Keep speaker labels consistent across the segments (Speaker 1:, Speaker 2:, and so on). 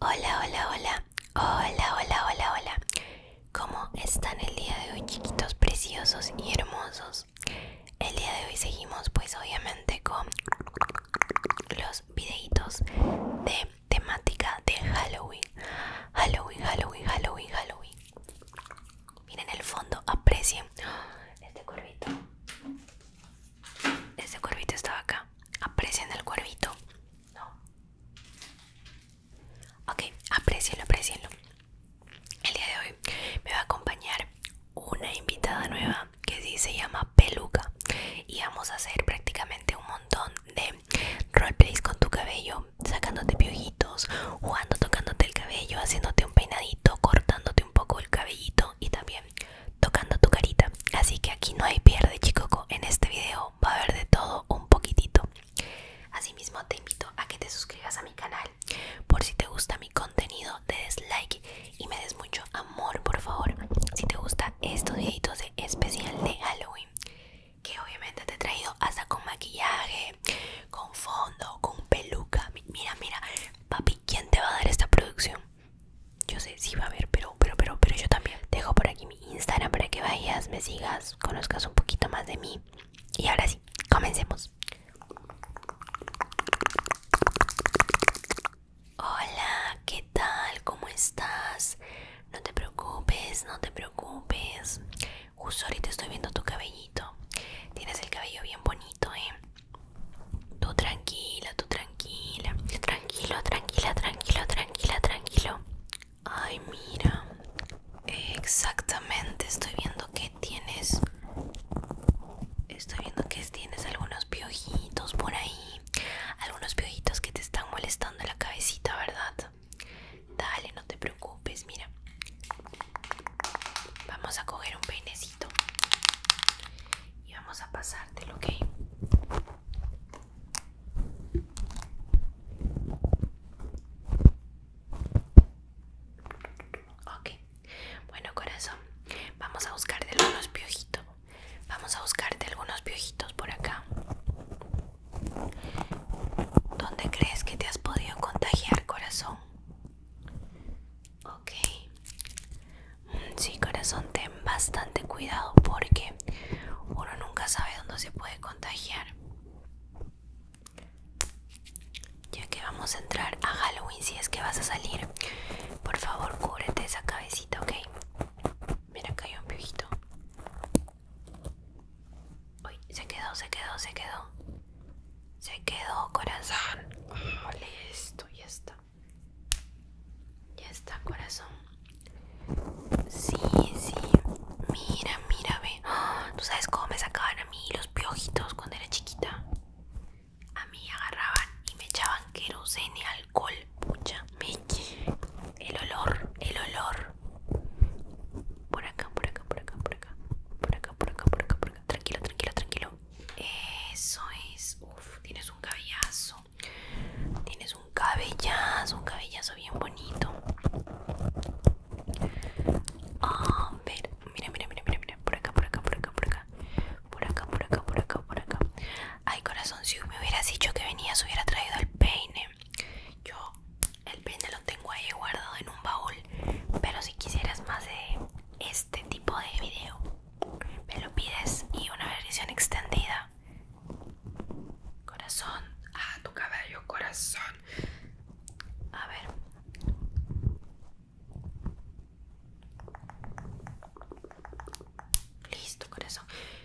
Speaker 1: Hola, hola, hola. Hola, hola, hola, hola. ¿Cómo están el día de hoy, chiquitos preciosos y hermosos? El día de hoy seguimos, pues obviamente, con los videitos de temática de Halloween. Halloween, Halloween, Halloween, Halloween. Miren el fondo, aprecien este curvito. Este cuervito estaba acá. Aprecien el cuervito. No. Ok, aprecienlo, aprecienlo. El día de hoy me va a acompañar una invitada nueva que sí se llama Peluca. Y vamos a hacer prácticamente un montón de roleplays con tu cabello, sacándote piojitos, jugando, tocándote el cabello, haciéndote un peinadito, cortándote un poco el cabellito y también tocando tu carita. Así que aquí no hay pierde, chicoco. En este video va a haber de todo un poquitito. Asimismo, te invito a que te suscribas a mi canal. Por si te gusta mi contenido, te des like y me des mucho amor, por favor. Si te gusta estos videitos de especial de Halloween, que obviamente te he traído hasta con maquillaje, con fondo, con peluca. Mira, mira, papi, ¿quién te va a dar esta producción? Yo sé, si va a haber, pero, pero, pero, pero yo también. Dejo por aquí mi Instagram para que vayas, me sigas, conozcas un poquito más de mí. Y ahora sí, comencemos. Hola, ¿qué tal? ¿Cómo estás? No te preocupes, no te preocupes. Justo ahorita estoy viendo tu cabellito. Tienes el cabello bien bonito, ¿eh? Tú tranquila, tú tranquila. Tranquilo, tranquila, tranquilo, tranquila, tranquilo. Ay, mira. Exactamente, estoy viendo que tienes... Estoy viendo que tienes algunos piojitos por ahí. Algunos piojitos que te están molestando la cabecita, ¿verdad? Dale, no te preocupes, mira. Vamos a coger un peinecito y vamos a pasártelo, ¿ok? Ok, bueno corazón, vamos a buscarte algunos piojitos, vamos a buscarte algunos piojitos por acá. ¿Dónde crees que te has podido contagiar, corazón? Ok. Sí, corazón, ten bastante cuidado porque uno nunca sabe dónde se puede contagiar. Ya que vamos a entrar a Halloween, si es que vas a salir, por favor cúbrete esa cabecita, ¿ok? Mira, acá hay un piojito. Uy, se quedó, se quedó, se quedó. Se quedó, corazón. Ole esto, ya está. Ya está, corazón. Sí, sí. Mira, mira, ve. ¡Ah! ¿Tú sabes cómo me sacaban a mí los piojitos cuando era chiquita? A mí agarraban y me echaban queroseno alcohol. Pucha, me... El olor, el olor. Por acá, por acá, por acá, por acá. Por acá, por acá, por acá, por acá. Tranquilo, tranquilo, tranquilo. Eso es. Uf, tienes un cabellazo. Tienes un cabellazo, un cabellazo bien bonito. A ah, ver, mira, mira, mira, mira, mira. Por acá, por acá, por acá, por acá. Por acá, por acá, por acá, por acá. Ay, corazón, si me hubieras dicho que venías, hubiera traído el peine. Yo el peine lo tengo ahí guardado en un baúl. Pero si quisieras más de este tipo de video me lo pides y una versión extendida corazón ah tu cabello corazón a ver listo corazón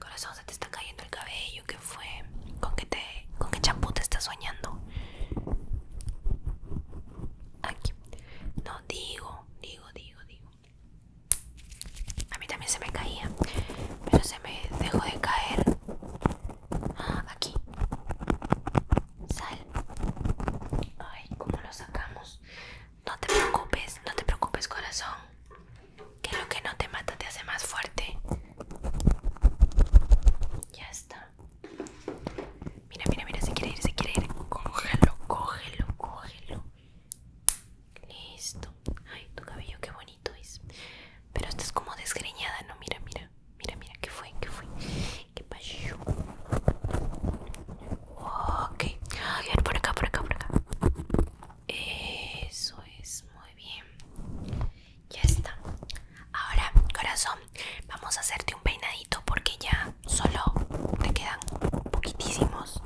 Speaker 1: corazón se te está cayendo el cabello que fue con que te con qué champú te estás soñando aquí no digo, digo, digo, digo. A mí también se me caía, pero se me dejó de caer. Ah, aquí. Sal. Ay, ¿cómo lo sacamos? No te preocupes, no te preocupes, corazón. Que lo que no te mata te hace más fuerte. Ya está. Mira, mira, mira, se quiere ir, se quiere ir. Cógelo, cógelo, cógelo. Listo. Ay, tu cabello qué bonito es. Pero estás como desgreñada, ¿no? Mira, mira. Mira, mira, ¿qué fue? ¿Qué fue? ¿Qué pasó? Ok. A ver, por acá, por acá, por acá. Eso es, muy bien. Ya está. Ahora, corazón, vamos a hacerte un peinadito porque ya solo te quedan poquitísimos.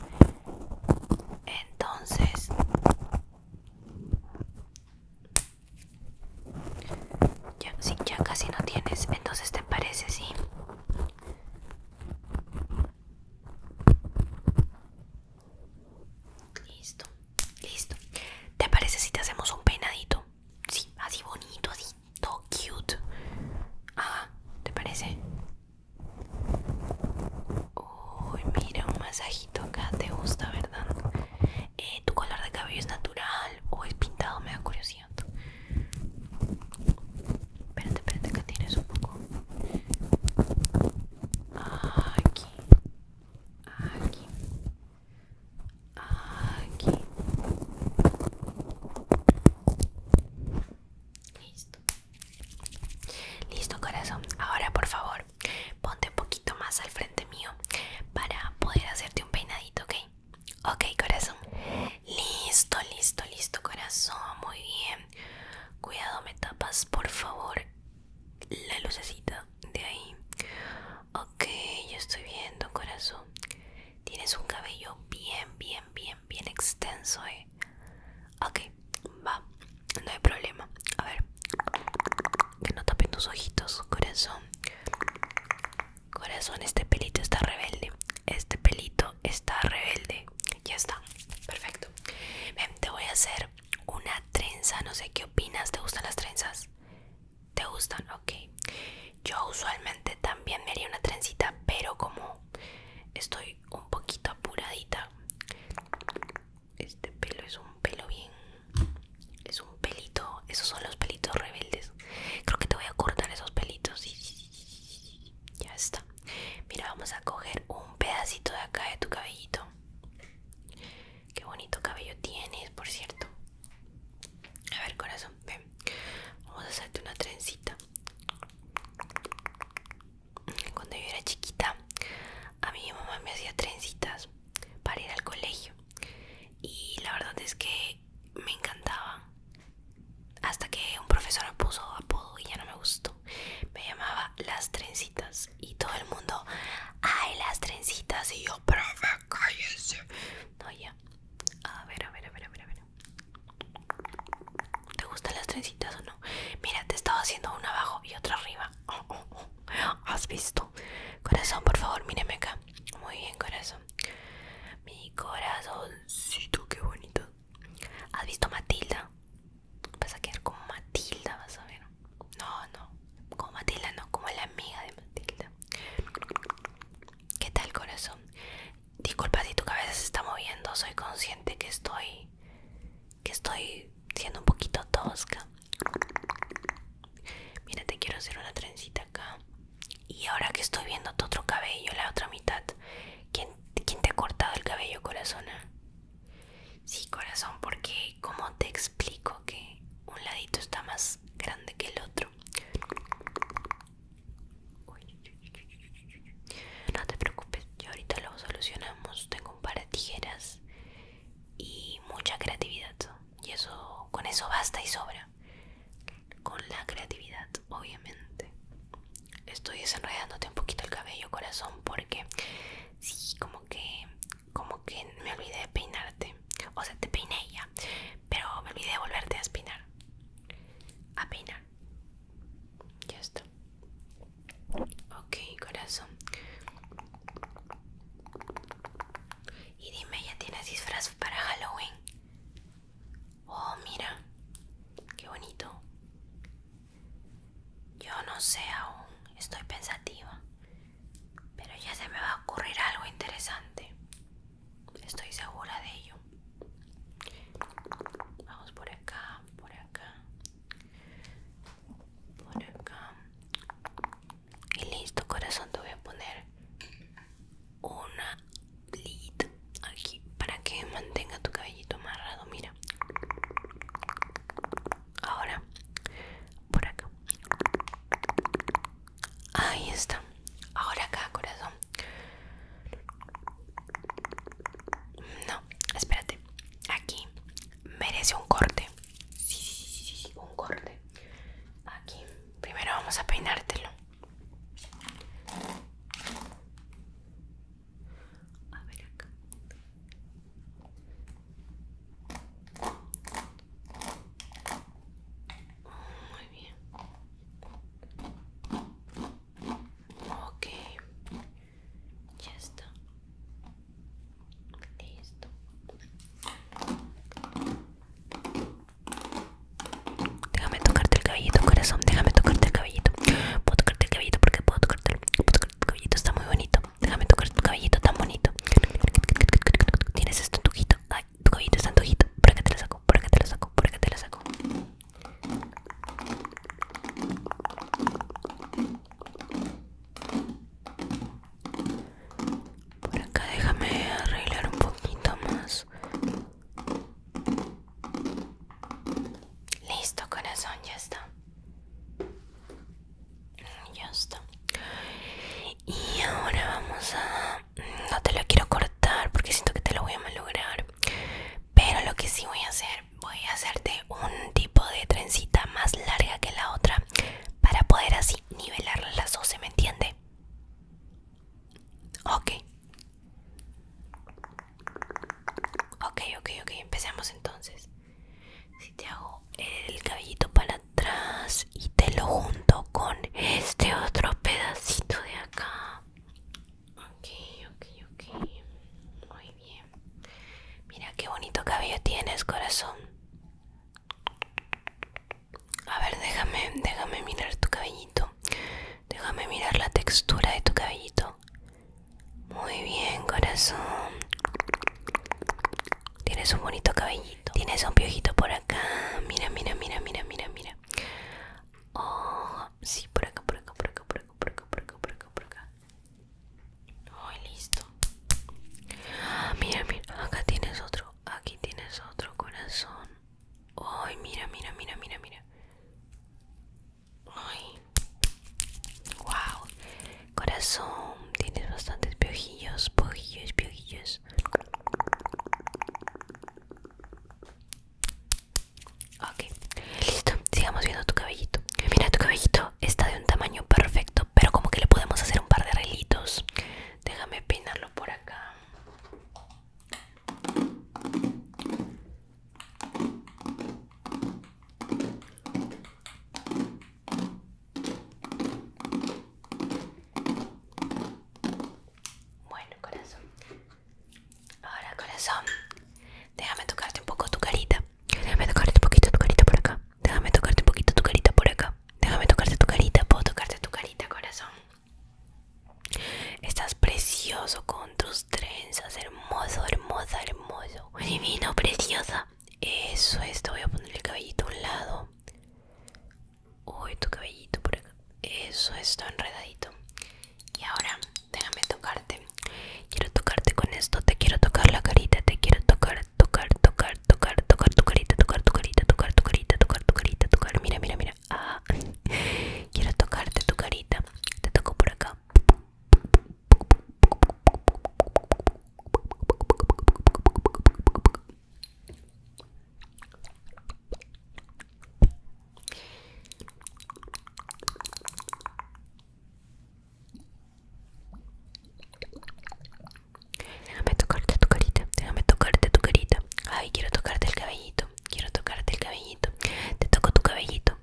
Speaker 1: Entonces, ya, ya casi no tienes, entonces te parece, sí. Listo, listo. ¿Te parece si te hacemos un peinadito? Sí, así bonito, así todo cute. Ah, ¿te parece? Uy, mira, un masajito acá, te gusta, ¿verdad? Eh, ¿Tu color de cabello es natural o es pintado? Me da curiosidad. Espérate, espérate, que tienes un poco. Aquí, aquí, aquí listo listo corazón ahora por favor ponte un poquito más al frente mío para poder hacerte un peinadito ok ok corazón listo listo listo corazón muy bien cuidado me tapas por favor la lucecita de ahí Ok, yo estoy viendo, corazón. Tienes un cabello bien, bien, bien, bien extenso, eh. Ok, va, no hay problema. A ver, que no tapen tus ojitos, corazón. Corazón, este pelito está rebelde. Este pelito está rebelde. Ya está, perfecto. Ven, te voy a hacer una trenza. No sé qué opinas. ¿Te gustan las trenzas? ¿Te gustan? Ok. Yo usualmente también me haría una trencita, pero como estoy un poquito apuradita, este pelo es un pelo bien. Es un pelito. Esos son los pelitos rebeldes. Creo que te voy a cortar esos pelitos. Y ya está. Mira, vamos a coger un pedacito de acá de tu cabellito. Qué bonito cabello tienes, por cierto. A ver, corazón, ven. Vamos a hacerte una trencita. Cuando yo era chiquita, a mi mamá me hacía trencitas para ir al colegio. Y la verdad es que me encantaba. Hasta que un profesor me puso apodo y ya no me gustó. Me llamaba Las Trencitas. Y todo el mundo, ¡ay, las trencitas! Y yo, profe, cállese. No, ya. A ver, a ver, a ver, a ver, a ver. ¿Te gustan las trencitas o no? Mira, te estaba haciendo una abajo y otra arriba. ¿Has visto? Corazón, por favor, míreme acá. Muy bien, corazón. Mi corazoncito, qué bonito. ¿Has visto Matilda? Vas a quedar como Matilda, vas a ver. No, no, como Matilda, no, como la amiga de Matilda. ¿Qué tal, corazón? Disculpa si tu cabeza se está moviendo, soy consciente que estoy. que estoy siendo un poquito tosca. Mira, te quiero hacer una trencita acá. Y ahora que estoy viendo tu otro cabello, la otra mitad, ¿quién, te ha cortado el cabello, corazón? Sí, corazón, porque como te, explico que un ladito está más grande que el otro. No te preocupes, yo ahorita lo solucionamos. Tengo un par de tijeras y mucha creatividad. Y eso, con eso basta y sobra. Con la creatividad, obviamente. Estoy desenredándote un poquito el cabello, corazón, porque sí, como que como que me olvidé de peinarte. O sea, te peiné ya, pero me olvidé de volverte a espinar. A peinar. Ya está. Ok, corazón. Y dime, ¿ya tienes disfraz para Halloween? Oh, mira, qué bonito. Yo no sé aún, estoy pensativa. Pero ya se me va a ocurrir algo interesante. Estoy segura de ello. Vamos por acá, por acá. Por acá. Y listo, corazón, te voy a poner una lid aquí para que mantenga tu cabellito amarrado. Mira. Ahora, por acá. Ahí está. Ahora acá, corazón. No, espérate. Aquí merece un corte. Sí, sí, sí, sí, un corte. Aquí. Primero vamos a peinártelo. A ver acá. Muy bien. Ok. Ya está. Listo. Déjame tocarte el cabellito, corazón. Déjame tocarte el cabellito. Puedo tocarte el cabellito porque puedo tocarte el, puedo tocarte el cabellito. Está muy bonito déjame tocar tu cabellito tan bonito. Tienes esto tu tujito. Ay, tu cabellito es este tujito. Por acá te lo saco, por acá te lo saco, por acá te lo saco. Por acá déjame arreglar un poquito más. Listo, corazón, ya está. Ya está. Y ahora vamos a... Mm, no te lo quiero cortar porque siento que te lo voy a malograr. Pero lo que sí voy a hacer, voy a hacerte un tipo de trencita más larga que la otra para poder así nivelar las dos, ¿se me entiende? Ok. Ok, ok, ok. Empecemos entonces. Si te hago el cabellito para atrás y te lo junto con este otro pedacito de acá. Ok, ok, ok. Muy bien. Mira qué bonito cabello tienes, corazón. A ver, déjame, déjame mirar tu cabellito. Déjame mirar la textura de tu cabellito. Muy bien, corazón. Tienes un bonito cabellito. Tienes un piojito por acá. Mira, mira, mira, mira, mira, mira. Oh, sí, por acá, por acá, por acá, por acá, por acá, por acá, por acá, por acá. listo. Ah, mira, mira, acá tienes otro. Aquí tienes otro corazón. Ay, mira, mira, mira, mira, mira. Ay, wow, corazón, tienes bastantes piojillos, piojillos, piojillos. Ok, listo, sigamos viendo tu cabellito. Mira, tu cabellito está de un tamaño perfecto, pero como que le podemos hacer un par de relitos. Déjame peinarlo por acá. Bueno, corazón. Ahora, corazón. Déjame tocarte un poco tu carita. Déjame tocarte un poquito tu carita por acá. Déjame tocarte un poquito tu carita por acá. Déjame tocarte tu carita. Puedo tocarte tu carita, corazón. Estás precioso con tus trenzas, hermoso, hermosa, hermoso, divino, preciosa. Eso es, te voy a poner el cabellito a un lado. Uy, tu cabellito por acá. Eso es, enredadito. Y ahora, déjame tocarte. Quiero tocarte con esto, te quiero tocar la carita, te quiero tocar, tocar, tocar, tocar, tocar tu carita, tocar tu carita, tocar tu carita, tocar tu carita, tocar. Mira, mira, mira. Ah. Quiero tocarte tu carita. Te toco por acá. Déjame tocarte tu carita, déjame tocarte tu carita. Ay, quiero tocarte el cabellito, quiero tocarte el cabellito. Te toco tu cabellito,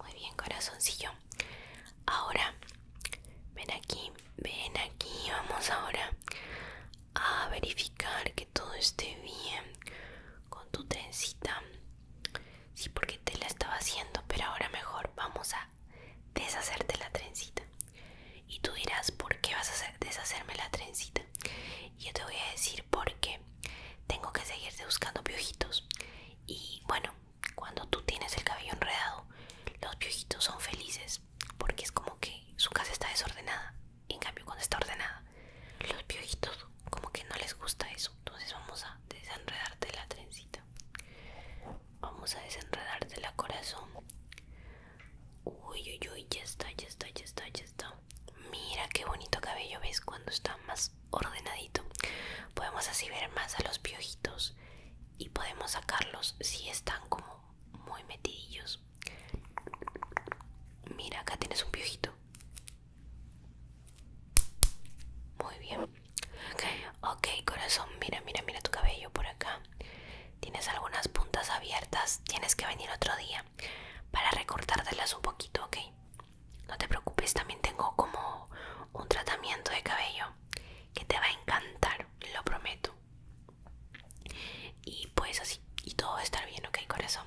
Speaker 1: Muy bien, corazoncillo. Ahora, ven aquí, ven aquí. Vamos ahora a verificar que todo esté bien con tu trencita. Sí, porque te la estaba haciendo, pero ahora mejor vamos a deshacerte la trencita. Y tú dirás, ¿por qué vas a deshacerme la trencita? Yo te voy a decir porque tengo que seguirte buscando piojitos. Y bueno, cuando tú tienes el cabello enredado, los piojitos son felices porque es como que su casa está desordenada. en cambio, cuando está ordenada, los piojitos como que no les gusta eso. Entonces vamos a desenredarte la trencita. Vamos a desenredarte la corazón. Uy, uy, uy, ya está, ya está, ya está, ya está. Mira qué bonito cabello, ¿ves? Cuando está más ordenadito. Podemos así ver más a los piojitos y podemos sacarlos si están como muy metidillos. Mira, acá tienes un piojito. Muy bien. Ok, corazón, mira, mira, mira tu cabello por acá. Tienes algunas puntas abiertas. Tienes que venir otro día para recortártelas un poquito, ¿ok? No te preocupes, también tengo como un tratamiento de cabello que te va a encantar, lo prometo. Y pues así, y todo va a estar bien, ¿ok, corazón?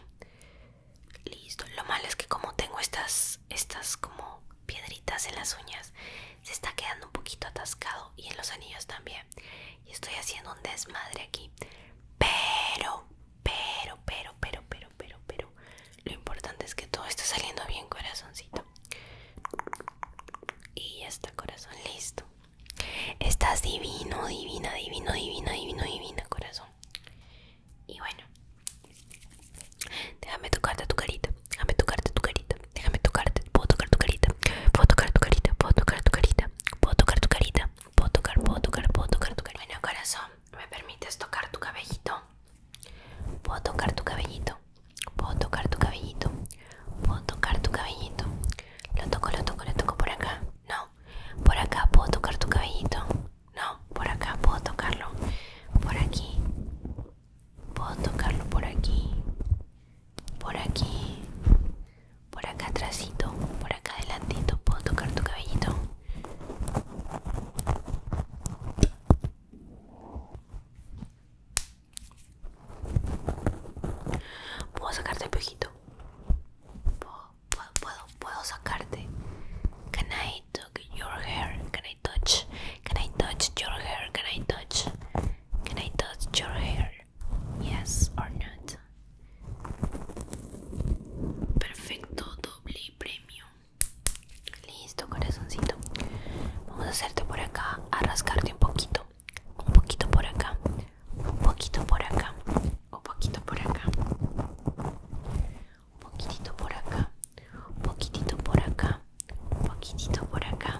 Speaker 1: Listo, lo malo es que como tengo estas, estas como piedritas en las uñas, se está quedando un poquito atascado y en los anillos también. Y estoy haciendo un desmadre aquí. Pero, pero, pero, pero, pero, pero, pero. Lo importante es que todo está saliendo bien, corazoncito. Y ya está, corazón, listo. Estás divino, divina, divino, divina, divino, divina, corazón. Y bueno. Déjame tocarte tu carita. Déjame tocarte tu carita. Déjame tocarte. Puedo tocar tu carita. Puedo tocar tu carita. Puedo tocar tu carita. Puedo tocar tu carita. Puedo tocar, puedo tocar, puedo tocar tu cabello corazón, ¿me permites tocar tu cabellito? Puedo tocar tu cabellito. Puedo tocar tu cabellito. Puedo tocar tu cabellito. Lo toco, lo toco, lo toco por acá. No. Por acá puedo tocar tu cabellito. No. Por acá puedo tocarlo. Por aquí. Puedo tocarlo por aquí. Por aquí por acá atrásito, por acá adelantito, puedo tocar tu cabellito. Puedo sacarte el pejito? puedo, puedo, puedo sacarte. Can I touch your hair? Can I touch? Can I touch your hair? Can I touch? Can I touch your hair? yes or not. Perfecto, doble premio. Listo, corazoncito. Vamos a hacerte por acá, a rascarte un poquito. Un poquito por acá, un poquito por acá, un poquito por acá. Un poquitito por acá, un poquitito por acá, un poquitito por acá.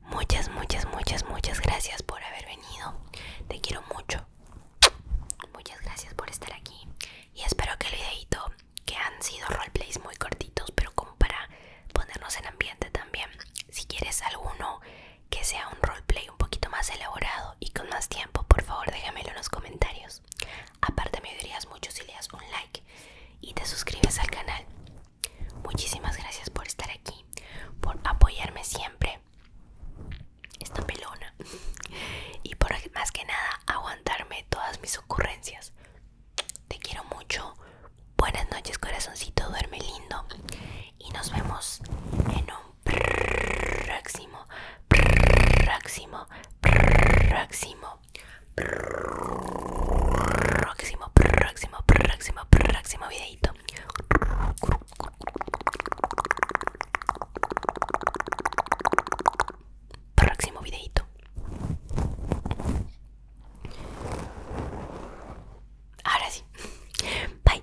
Speaker 1: Muchas, muchas, muchas, muchas gracias por haber venido. Te quiero mucho. Muchas gracias por estar aquí. Y espero que el videito, que han sido roleplays muy cortitos, pero como para ponernos en ambiente también. Si quieres alguno que sea un roleplay un poquito más elaborado y con más tiempo, por favor déjamelo en los comentarios. Aparte me ayudarías mucho si le das un like y te suscribes al canal. Muchísimas gracias por estar aquí, por apoyarme siempre. Esta pelona. Y por más que nada aguantarme todas mis ocurrencias. Te quiero mucho. Buenas noches, corazoncito. Duerme lindo. Y nos vemos en un próximo, próximo, próximo, próximo, próximo, próximo, próximo videito. Próximo videito. Ahora sí. Bye.